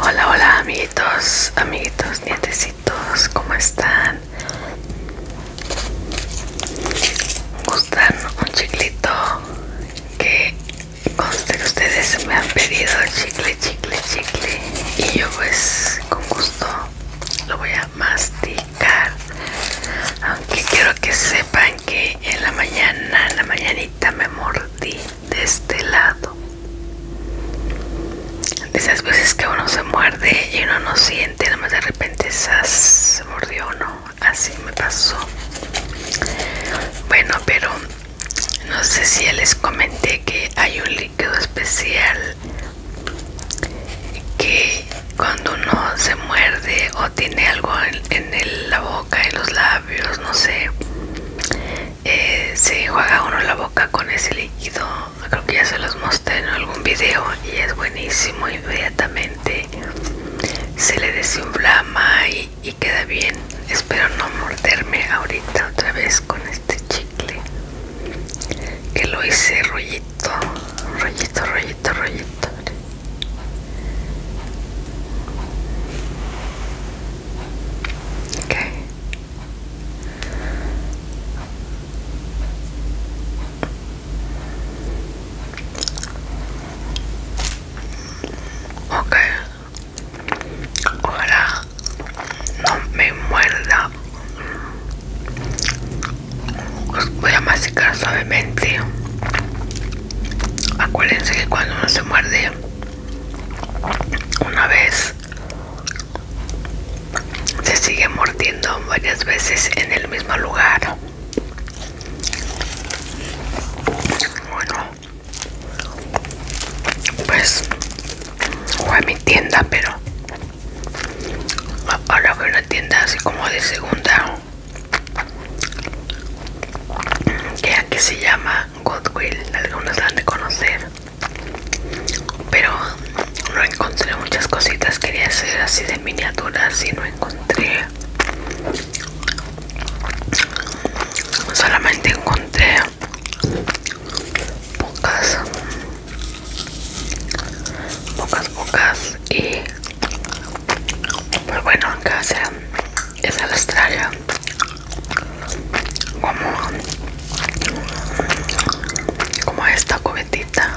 Hola, hola amiguitos, amiguitos, nietecitos, ¿cómo están? ¿Gustan un chiclito? Que conste que ustedes me han pedido chicle, chicle, chicle Y yo pues con gusto lo voy a masticar Aunque quiero que sepan que en la mañana, en la mañanita me mordí de este lado de esas veces que uno se muerde y uno no siente nada más de repente se mordió uno así me pasó bueno pero no sé si les comenté que hay un líquido especial que cuando uno se muerde o tiene algo en, la boca, en los labios, no sé, eh, se juega uno la boca con ese líquido creo que ya se los mostré en algún video y es buenísimo inmediatamente se le desinflama y queda bien espero no morderme ahorita otra vez con este chicle que lo hice rollito rollito rollito rollito Okay. Ok, ojalá no me muerda. voy a masticar suavemente. Acuérdense que cuando no se muerde, una vez se sigue mordiendo varias veces en el mismo lugar bueno pues fue a mi tienda pero ahora fue una tienda así como de segunda que aquí se llama Godwill, algunos la han de conocer. Pero no encontré muchas cositas, quería hacer así de miniaturas y no encontré. Solamente encontré pocas, pocas, pocas y pues bueno, acá se es el como, como esta cubetita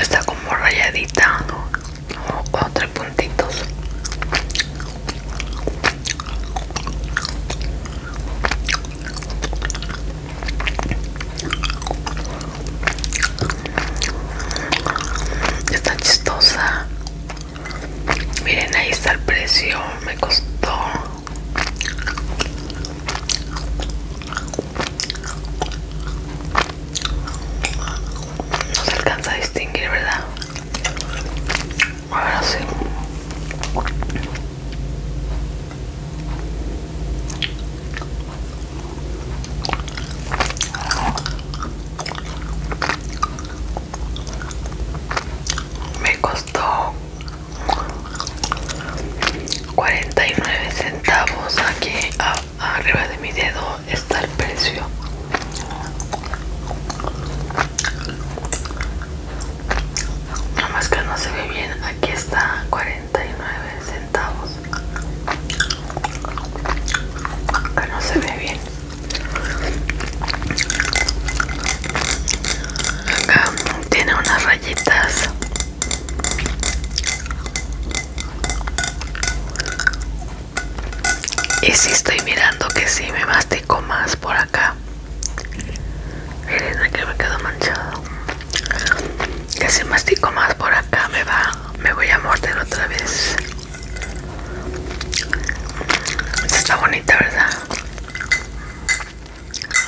está como rayadita o tres puntitos Está chistosa. Miren, ahí está el precio. Me costó. No se alcanza a distinguir, ¿verdad? Ahora sí me costó 49 centavos aquí arriba de mi dedo está el precio nada más que no se ve bien aquí está 49 centavos Acá no se ve bien acá tiene unas rayitas y si estoy mirando que si sí, me mastico más por acá miren aquí me quedo manchado que si mastico más por acá me va me voy a morder otra vez está bonita verdad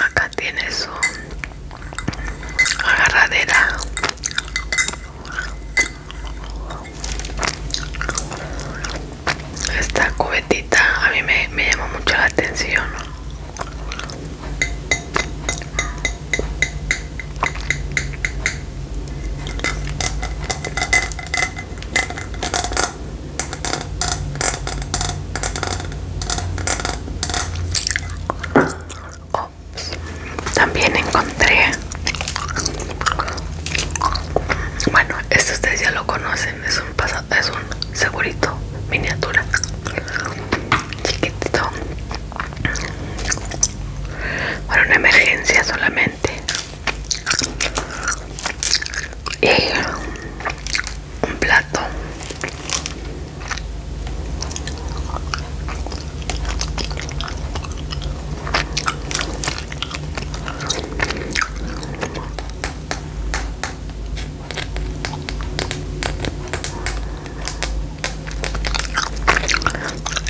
acá tiene su agarradera esta cubetita a mí me, me llamó mucho la atención también encontré bueno este ustedes ya lo conocen es un pasado es un segurito miniatura chiquitito para una emergencia solamente y un plato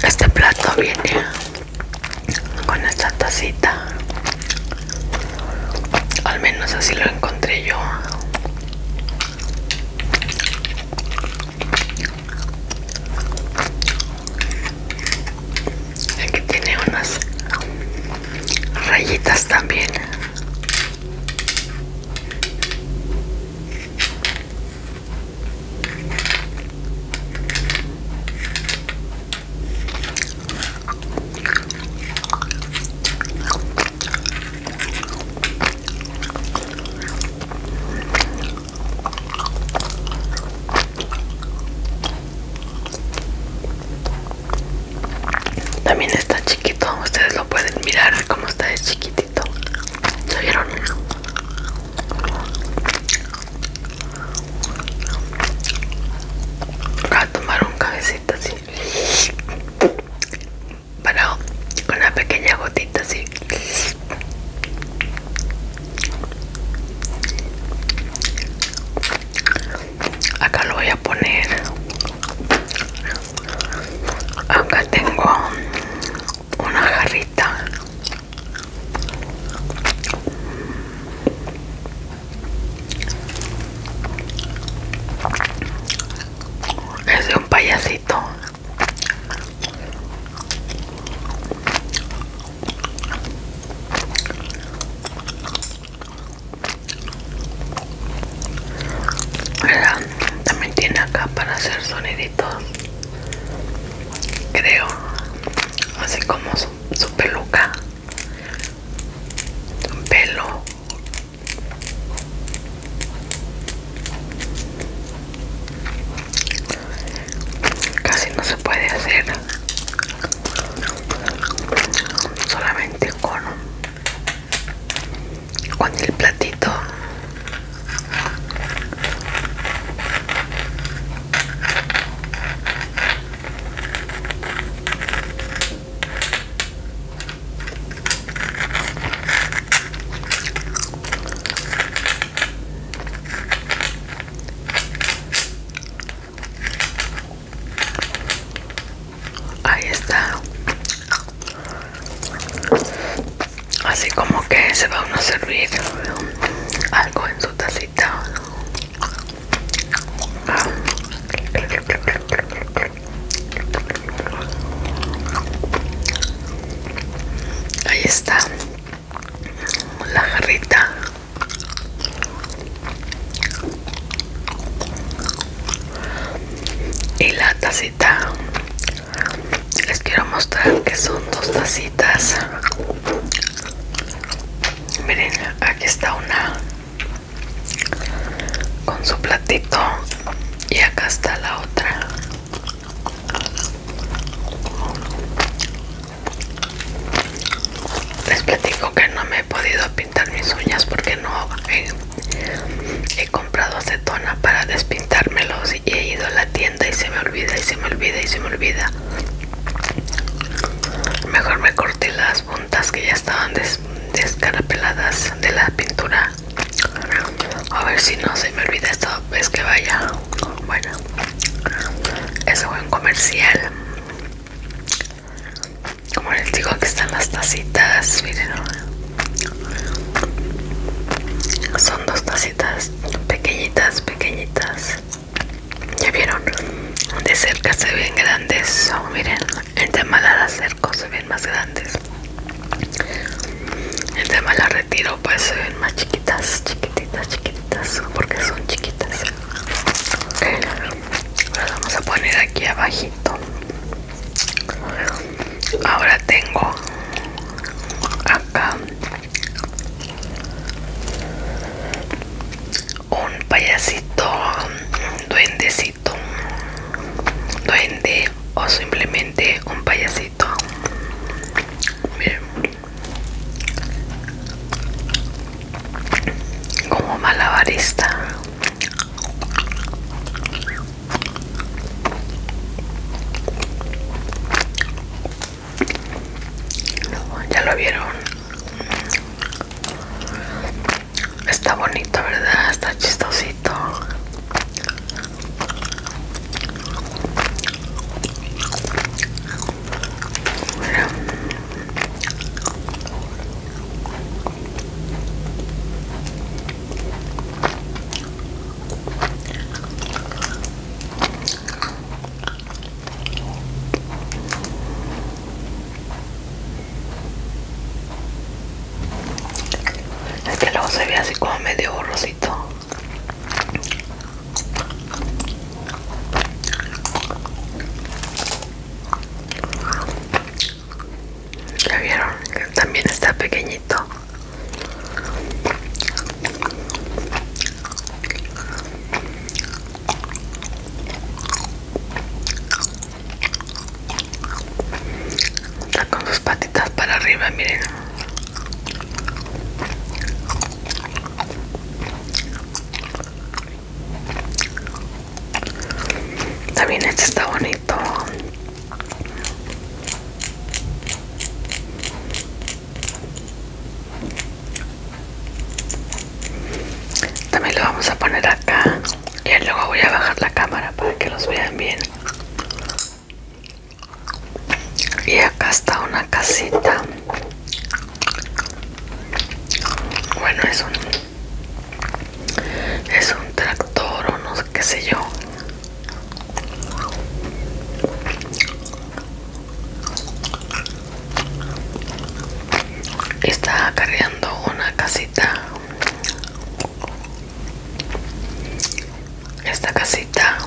este plato viene con esta tacita. Al menos así lo encontré yo. Aquí tiene unas rayitas también también está chiquito, ustedes lo pueden mirar como está de chiquito vieron? Voy a tomar un cabecito así. Para una pequeña gotita así. Acá lo voy a poner Acá tengo una jarrita es de un payasito también tiene acá para hacer soniditos, creo, así como su, peluca, su pelo. Casi no se puede hacer solamente con con el platito Ahí está así como que se va a uno a servir algo en su tacita ahí está la jarrita y la tacita les quiero mostrar que son dos tacitas miren aquí está una con su platito y acá está la otra les platico que no me he podido pintar mis uñas porque no He comprado acetona para despintármelos y he ido a la tienda y se me olvida y se me olvida y se me olvida. Mejor me corté las puntas que ya estaban descarapeladas de la pintura. A ver si no se me olvida Esto, es que vaya. Bueno, eso fue un comercial. Como les digo, aquí están las tacitas, miren. Son dos tacitas pequeñitas, pequeñitas. ¿Ya vieron? De cerca se ven grandes. Oh, miren, el tema la acerco se ven más grandes. el tema la retiro pues se ven más chiquitas, chiquititas, chiquititas, porque son chiquitas. Las vamos a poner aquí abajito ahora tengo acá un payasito duendecito duende o simplemente un payasito como malabarista ya lo vieron. Está bonito, ¿verdad? Está chistosito. Es que luego se ve así como medio borrosito. ¿Ya vieron? también está pequeñito. Está con sus patitas para arriba, miren. También este está bonito. También lo vamos a poner acá. Y luego voy a bajar la cámara para que los vean bien. Y acá está una casita. Bueno, es un es un tractor o no sé qué sé yo está cargando una casita esta casita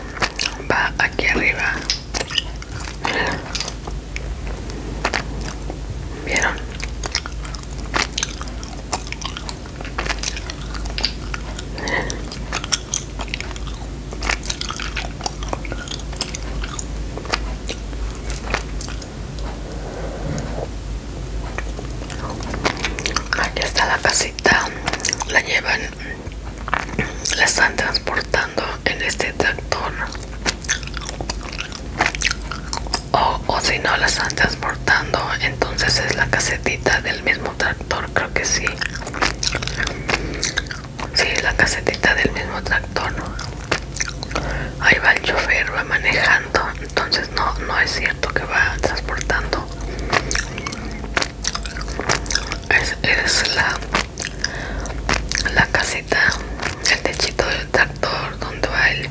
va aquí arriba vieron Aquí está la casita, la llevan, la están transportando en este tractor o, o si no la están transportando entonces es la casetita del mismo tractor creo que sí sí la casetita del mismo tractor ahí va el chofer va manejando entonces no no es cierto que va transportando es, es la la casita el techito del tractor donde va el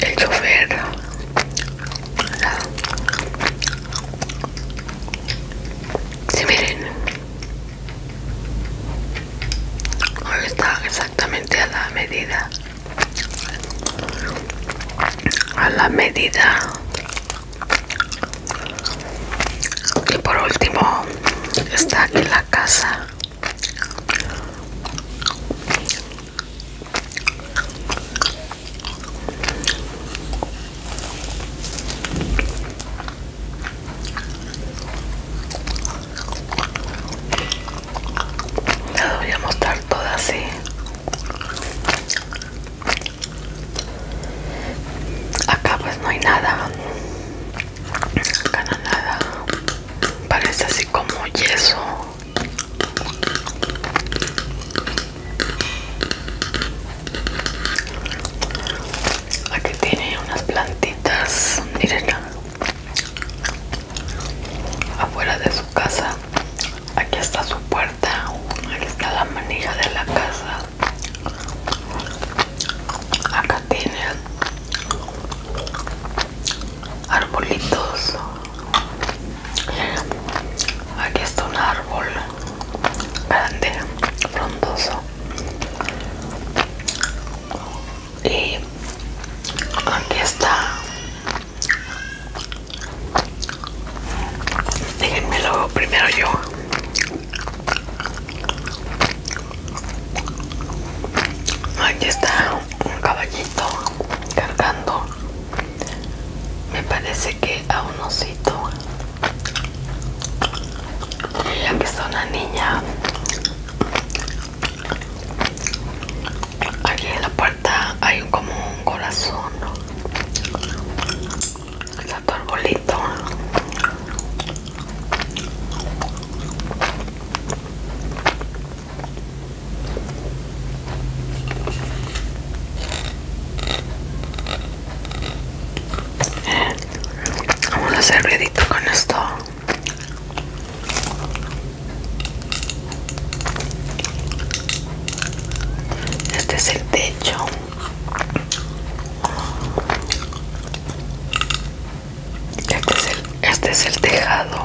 el chofer Si miren está exactamente a la medida a la medida y por último está aquí la casa la voy a mostrar toda así. Acá pues no hay nada. Acá no hay nada. Parece así como yeso. Aquí tiene unas plantitas, miren, afuera de su casa. Aquí está su puerta, aquí está la manija de la casa. Acá tiene arbolitos aquí está un árbol grande frondoso y aquí está déjenme primero yo aquí está un caballito cargando me parece que a un osito la persona una niña aquí en la puerta hay como un corazón el arbolito Vamos a hacer ruidito con esto. Este es el techo. Este es este es el tejado.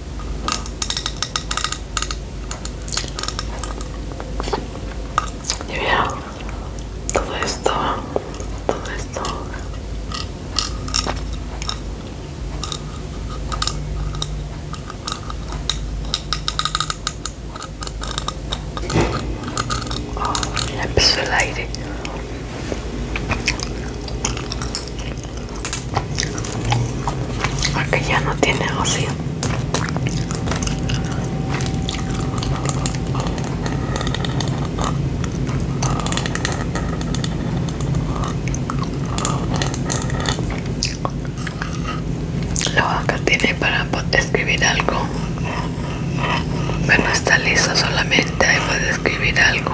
Y mira, todo esto, todo esto. Oh, ah, me empezó el aire. Porque ya no tiene ocio Lo acá tiene para escribir algo. Pero no está listo solamente, ahí puede escribir algo.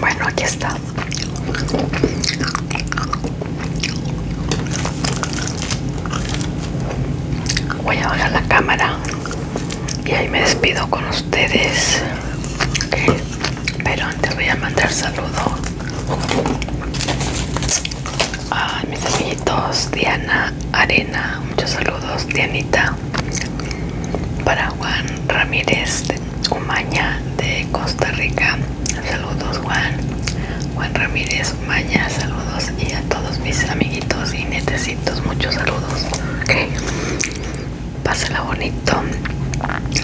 Bueno, aquí está. Voy a bajar la cámara y ahí me despido con ustedes. Pero antes voy a mandar saludo a mis amiguitos Diana Arena. Muchos saludos, Dianita para Juan Ramírez Umaña de Costa Rica saludos Juan Juan Ramírez Umaña saludos y a todos mis amiguitos y netecitos muchos saludos okay. pásala bonito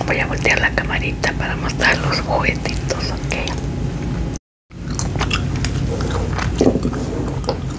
voy a voltear la camarita para mostrar los juguetitos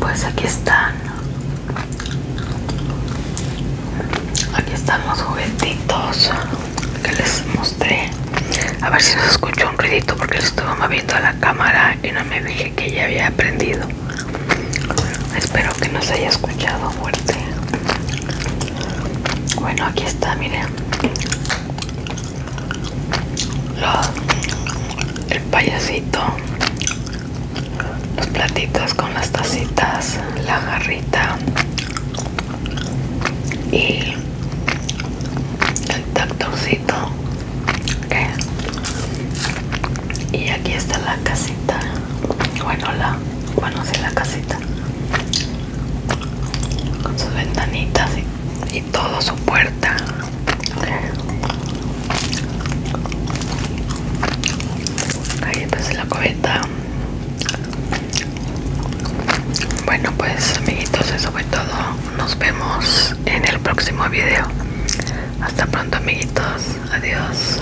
Pues aquí están. Aquí están los juguetitos que les mostré. A ver si nos escuchó un ruidito porque les estuve moviendo a la cámara y no me dije que ya había aprendido. Espero que nos haya escuchado fuerte bueno aquí está miren el payasito los platitos con las tacitas la jarrita y el tactorcito y aquí está la casita bueno la bueno la casita con sus ventanitas y, todo su puerta ahí está pues, la cubeta bueno pues amiguitos eso fue todo nos vemos en el próximo video hasta pronto amiguitos adiós